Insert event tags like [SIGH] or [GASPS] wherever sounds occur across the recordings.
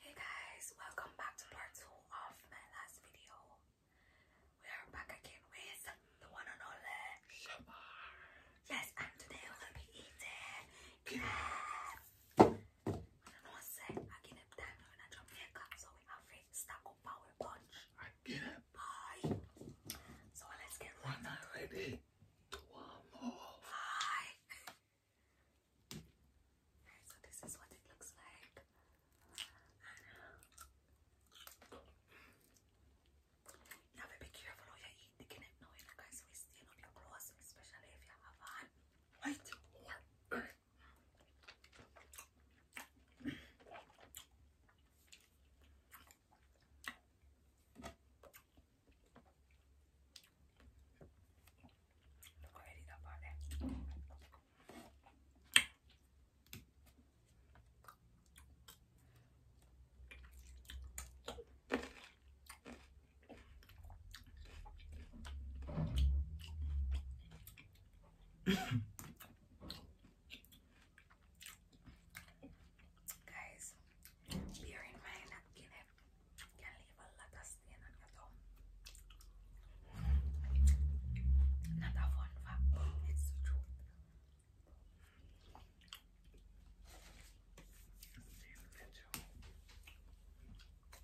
Hey guys, welcome back to part two of my last video. We are back again with the one and only Yes, and today we're gonna be eating crab. I don't know what to I get it time when I jump here, so we have a stack of power punch. I get it. Bye. So let's get ready to warm up. Bye. So this is what it looks like. And, you be careful how you eat the kidney now, you guys we steal up your clothes, especially if you have on white la verità Guys, bear in mind that kan leva alla stenen jag tar. Nada forma ett stort you know, right now anything. It's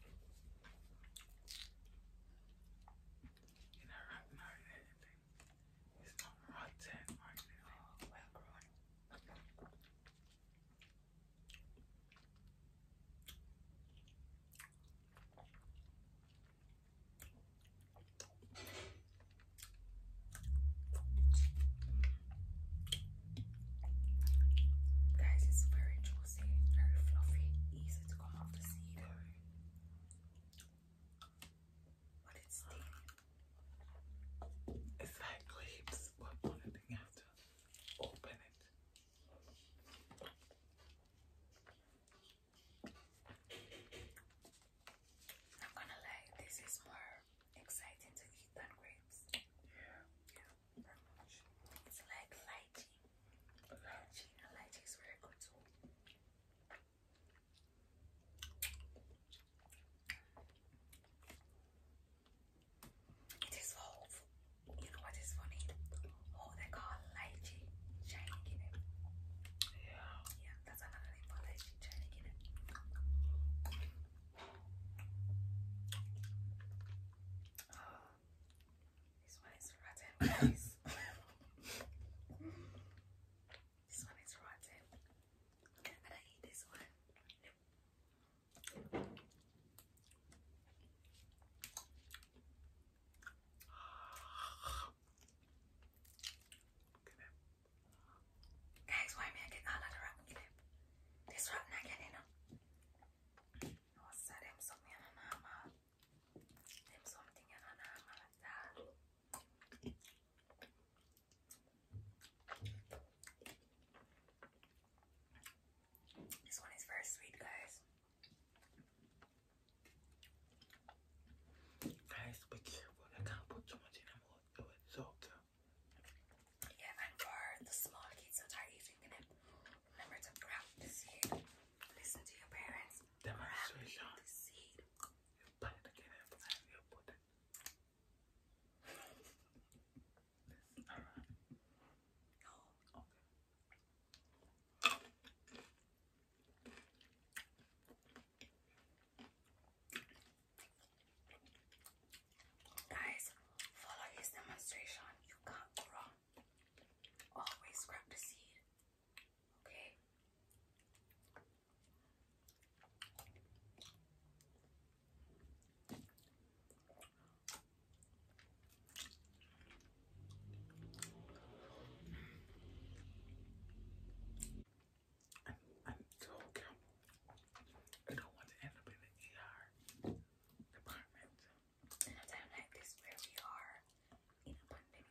not rotten or anything. Oh, Guys, it's very juicy, very fluffy, easy to come off the seed. But it's staying it's like grapes, but on it you open it. I'm gonna lie, this is more exciting to eat than grapes. Yeah. Yeah, It's like lychee. Lychee, lychee is very good too. This whole, you know what is funny? Oh, they call lychee shining Yeah. Yeah, that's another name for lychee [GASPS] this one is rotten, guys. [LAUGHS] this one is rotten. And Guys, why me I get all of the rotten clip? This rotten again, you oh, know. What's that? Them something and normal. something and normal like this one is very sweet, guys. Guys, be I can't put too much in my so Yeah, and for the small kids that are eating in remember to grab Listen to your parents. Demonstration. Grab all right. Guys, follow his demonstration. You can't go wrong. Always grab the seed. Okay. I'm, I'm you, I don't want to end up in the ER department. In a time like this where we are in a pandemic.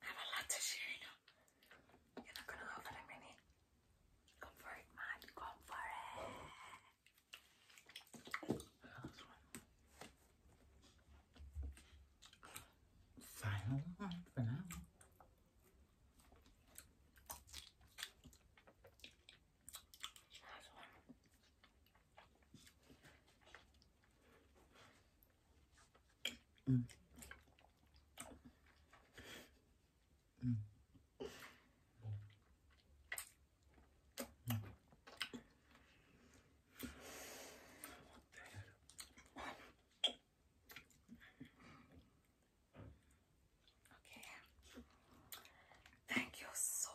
I have a lot to share, you know. are not gonna go for a minute. Come for it, man. Come for it. Final one for now. Last one. Okay. Thank you so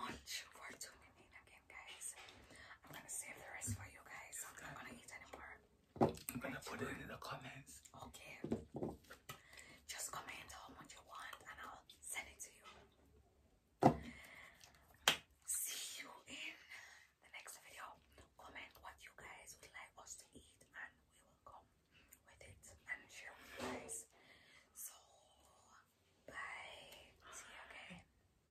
much for tuning in again, guys. I'm gonna save the rest for you guys. I'm not gonna eat anymore. I'm gonna put it in the comments. Okay. Just comment how much you want and I'll send it to you. See you in the next video. Comment what you guys would like us to eat and we will come with it and share with you guys. So bye. See